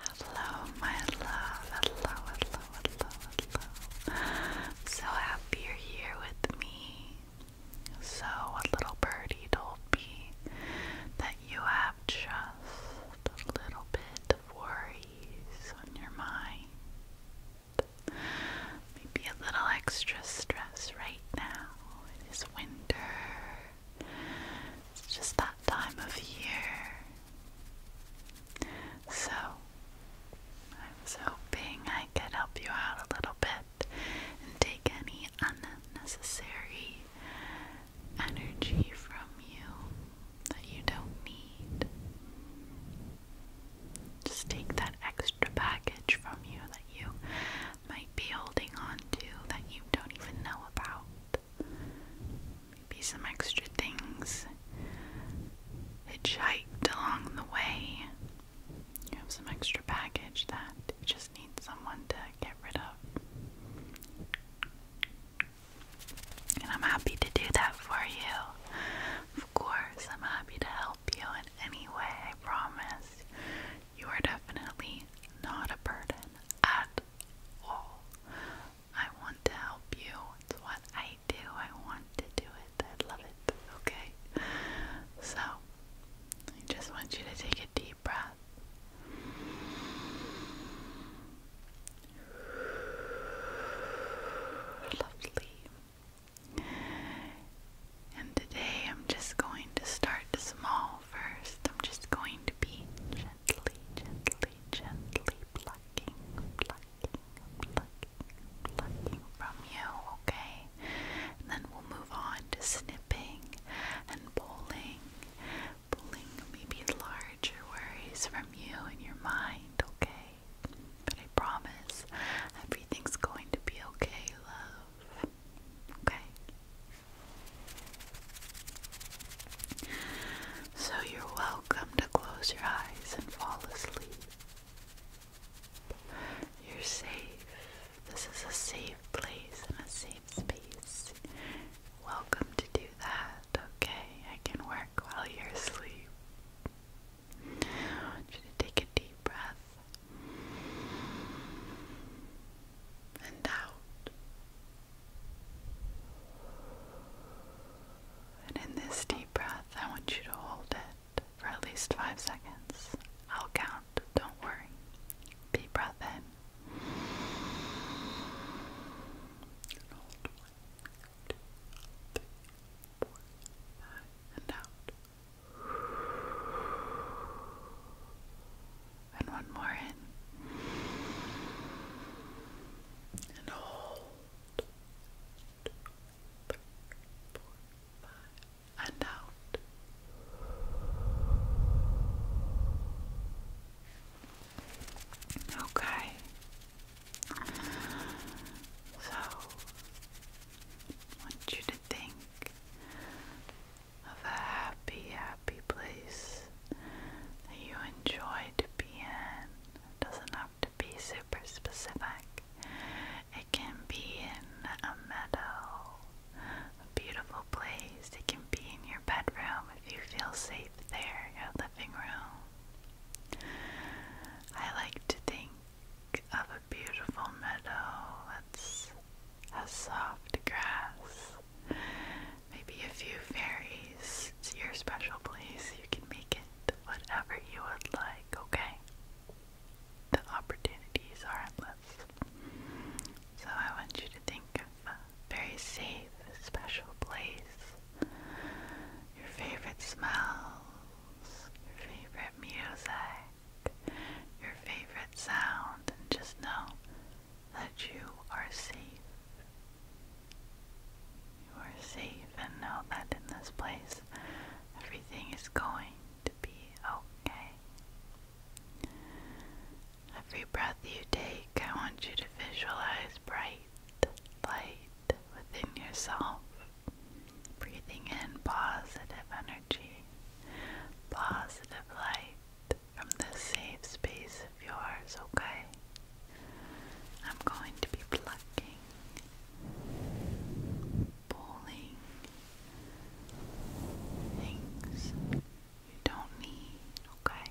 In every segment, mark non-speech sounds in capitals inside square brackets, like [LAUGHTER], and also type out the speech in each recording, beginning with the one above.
Hello, my love. Hello, hello, hello, hello. So happy you're here with me. So, little birdie told me that you have just a little bit of worries on your mind. Maybe a little extra stress right now. It is winter. It's just that time of year. So, I was hoping I could help you out a little bit and take any unnecessary energy from you that you don't need. Just take that extra baggage from you that you might be holding on to that you don't even know about. Maybe some extra things hitchhiked along the way. You have some extra baggage that you just need someone to get rid of. And I'm happy to do that for you. Of course, I'm happy to help you in any way, I promise. You are definitely not a burden at all. I want to help you. It's what I do. I want to do it. I love it. Okay? So, I just want you to take a deep breath. Lovely. And today I'm just going to start small first. I'm just going to be gently, gently, gently plucking, plucking, plucking, plucking from you, okay? then we'll move on to snipping and pulling, pulling maybe larger worries from you and your mind, okay? But I promise everything's going to be okay, love. Okay? So you're welcome to close your eyes and fall asleep. You're safe. This is a safe place and a safe space. Welcome to do that, okay? I can work while you're asleep. I want you to take a deep breath and out. And in this deep breath, I want you to hold it for at least five seconds. I'll count, don't worry. Deep breath in. And and out. And one more in. And hold. Two, three, four, five. And out. Okay. So, want you think of a happy, happy place that you enjoy to be in. doesn't have to be super specific. It can be in a meadow, a beautiful place. It can be in your bedroom if you feel safe there, your living room. I like to think of a beautiful meadow it's a soft grass. Maybe a few fairies. It's your special place. You can make it whatever you would like, okay? The opportunities are endless. So I want you to think of a very safe, special place. Your favorite smells, your favorite music your favorite sound and just know that you are safe. You are safe and know that in this place everything is going to be okay. Every breath you take, I want you to visualize bright light within yourself. Breathing in positive energy, positive light from this safe space of yours, okay? I'm going to be plucking, pulling things you don't need, okay?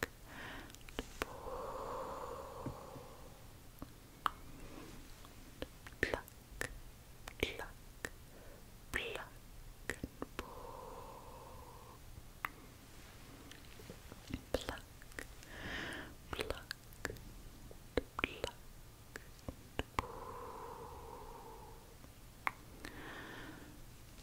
pluck, pluck, pluck, and pull. Pluck, pluck, pluck, and pull. Pluck,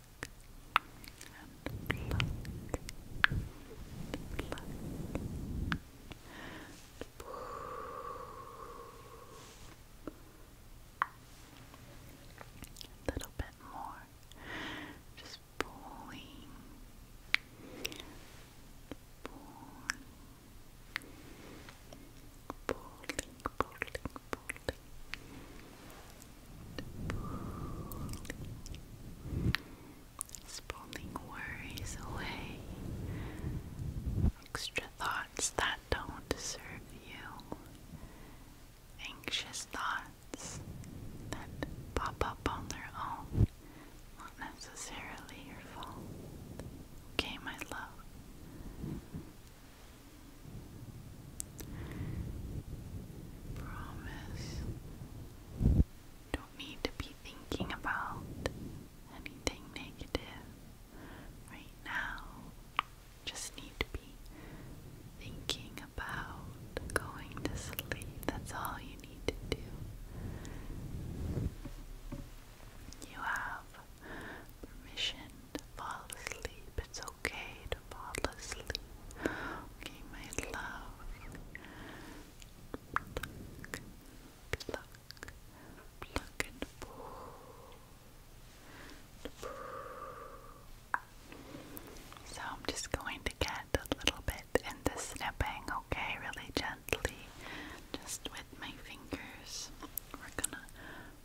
and pluck, A little bit more, just pulling, pulling, pulling, pulling, pulling, Spooning worries away, extra thoughts that don't serve you, anxious thoughts that pop up on their own, not necessarily your fault. Okay, my love. Promise. Don't need to be thinking about anything negative right now. Just need to be thinking about going to sleep. That's all you need to do. You have permission to fall asleep. It's okay to fall asleep. Okay, my love. So I'm just going to get a little bit into snipping, okay, really gently, just with my fingers. We're gonna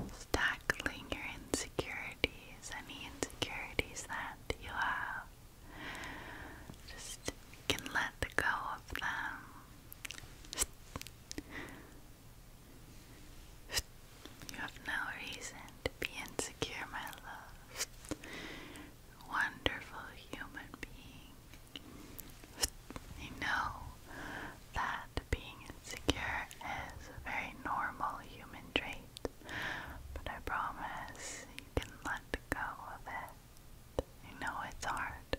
It's your insecurities, any insecurities that you have. Just can let go of them. You have no reason to be insecure, my love. Wonderful human being. I know that being insecure is a very normal human trait, but I promise you can let go of it. You know it's hard.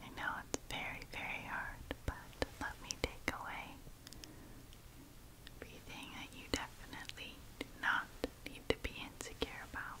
You know it's very, very hard, but let me take away everything that you definitely do not need to be insecure about.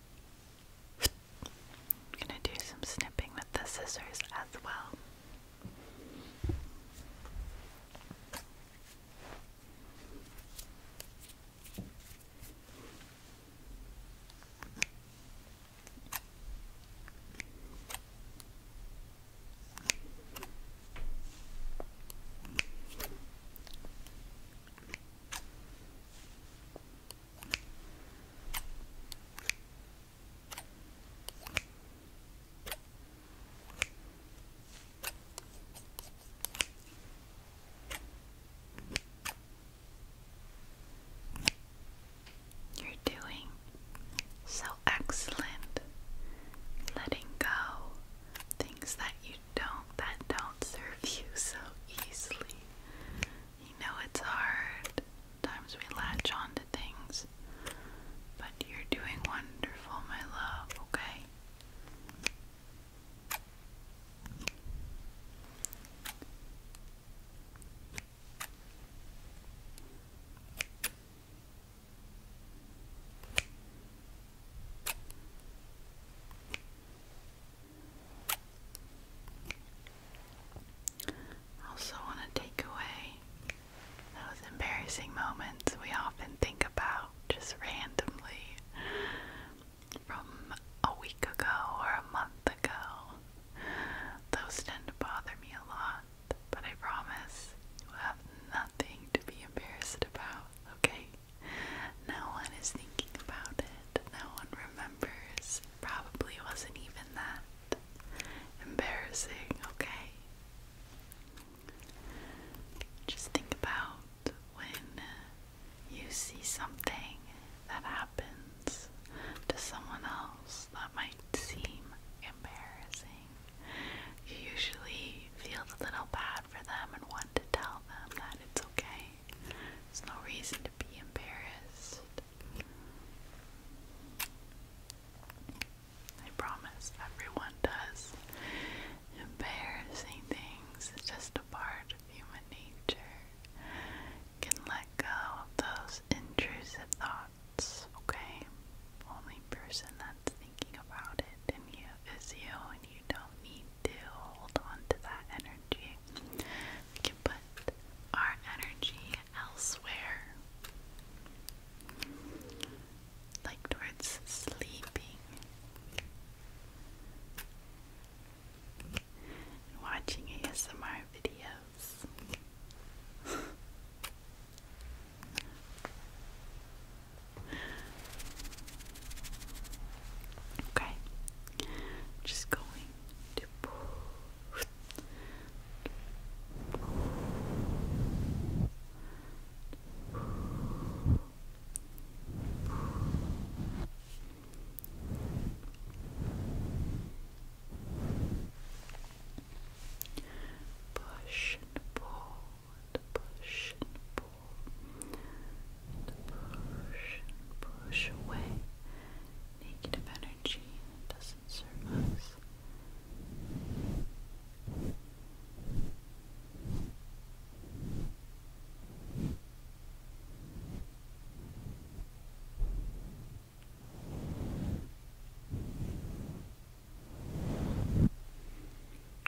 I'm gonna do some snipping with the scissors as well. You're doing so excellent letting go things that you don't that don't serve you so easily. You know it's hard. Sometimes we latch on things. But you're doing wonderful, my love, Okay. I also want to take away those embarrassing moments we often think about just randomly from a week ago or a month ago. Those tend to bother me a lot, but I promise you have nothing to be embarrassed about, okay? No one is thinking about it. No one remembers. Probably wasn't even that embarrassing, okay? Just think about when you see something that happens to someone else that might seem embarrassing. You usually feel a little bad for them and wonder to tell them that it's okay. There's no reason to be embarrassed. I promise everyone does. Embarrassing things is just a part of human nature. can let go of those intrusive thoughts, okay? Only person that not thinking about it and you is you and you don't need to hold on to that energy. We can put our energy elsewhere. Like towards sleeping. watching ASMR videos. [LAUGHS] Okay, just going to Push and pull, and push and pull, and push and push away negative energy doesn't serve us.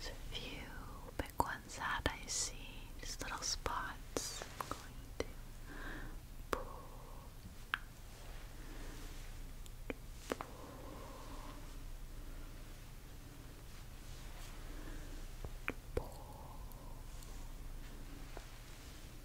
So if you pick one I see just little spots.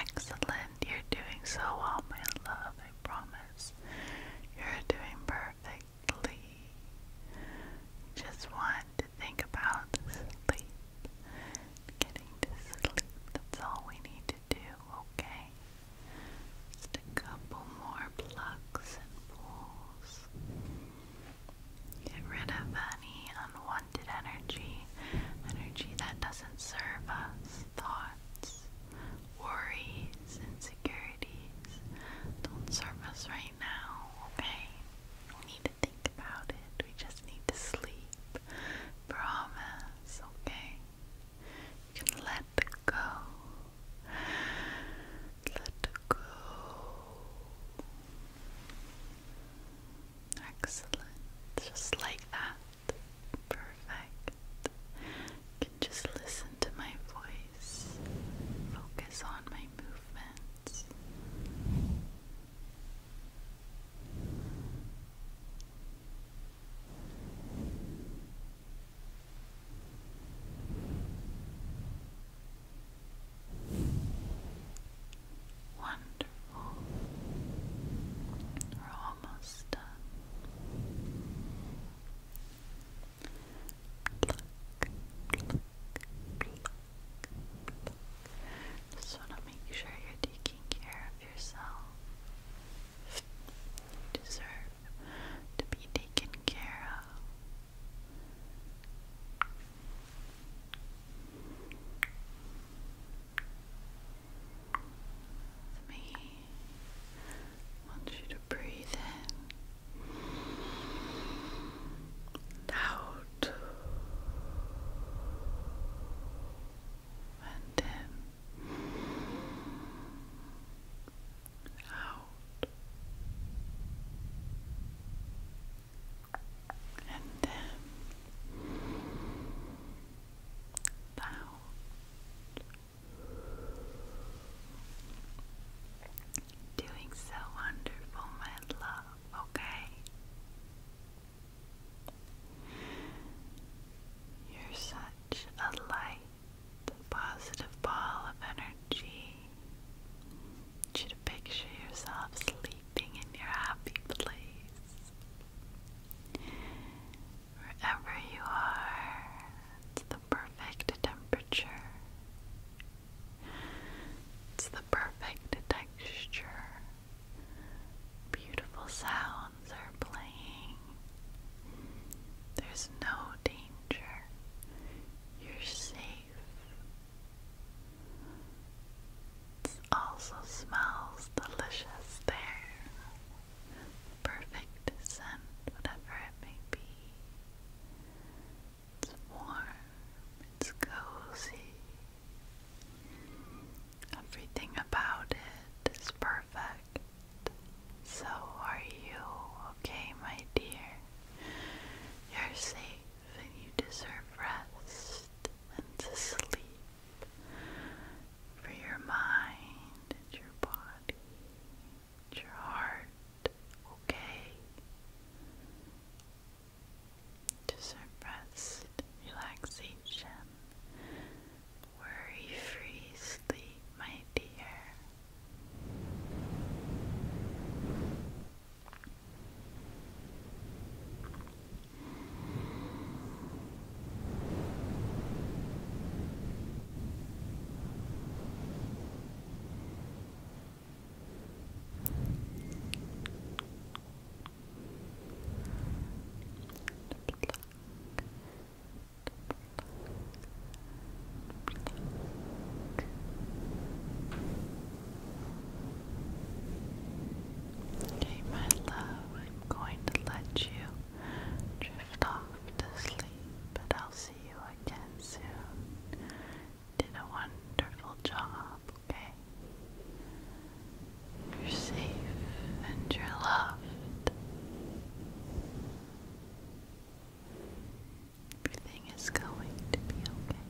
Excellent. You're doing so well, my love. I promise. You're doing perfectly. Just want to think about Getting to sleep. That's all we need do, okay? Just a couple more plucks and pulls. Get rid of any unwanted energy, energy that doesn't serve us, thoughts, worries, insecurities. Don't serve us right now, okay? We need to think about it. We just need to sleep promise, okay? You can let go. Let go. Excellent. Just like that. Perfect. can just listen to my voice. Focus on my movements. Wonderful. We're almost done. Pluck, pluck, pluck, pluck. Just want to make sure you're taking care of yourself. You deserve to be taken care of. me, want you to breathe in loud out and in out and then out doing so wonderful my love okay you're such a light, positive ball of energy. picture yourself sleeping in your happy place. Wherever you are, it's the perfect temperature. It's perfect texture. Beautiful sounds are playing. There's no danger. You're safe. It also smells delicious there. Perfect scent, whatever it may be. It's warm, it's cozy, Everything about it is perfect. So are you, okay, my dear? You're safe and you deserve rest and to sleep for your mind your body your heart, okay? to suppressed relaxation, worry free sleep, my dear. Okay, my love, I'm going to let you drift off to sleep, but I'll see you again soon did a wonderful job, okay? You're safe and you're loved. Everything is going to be okay.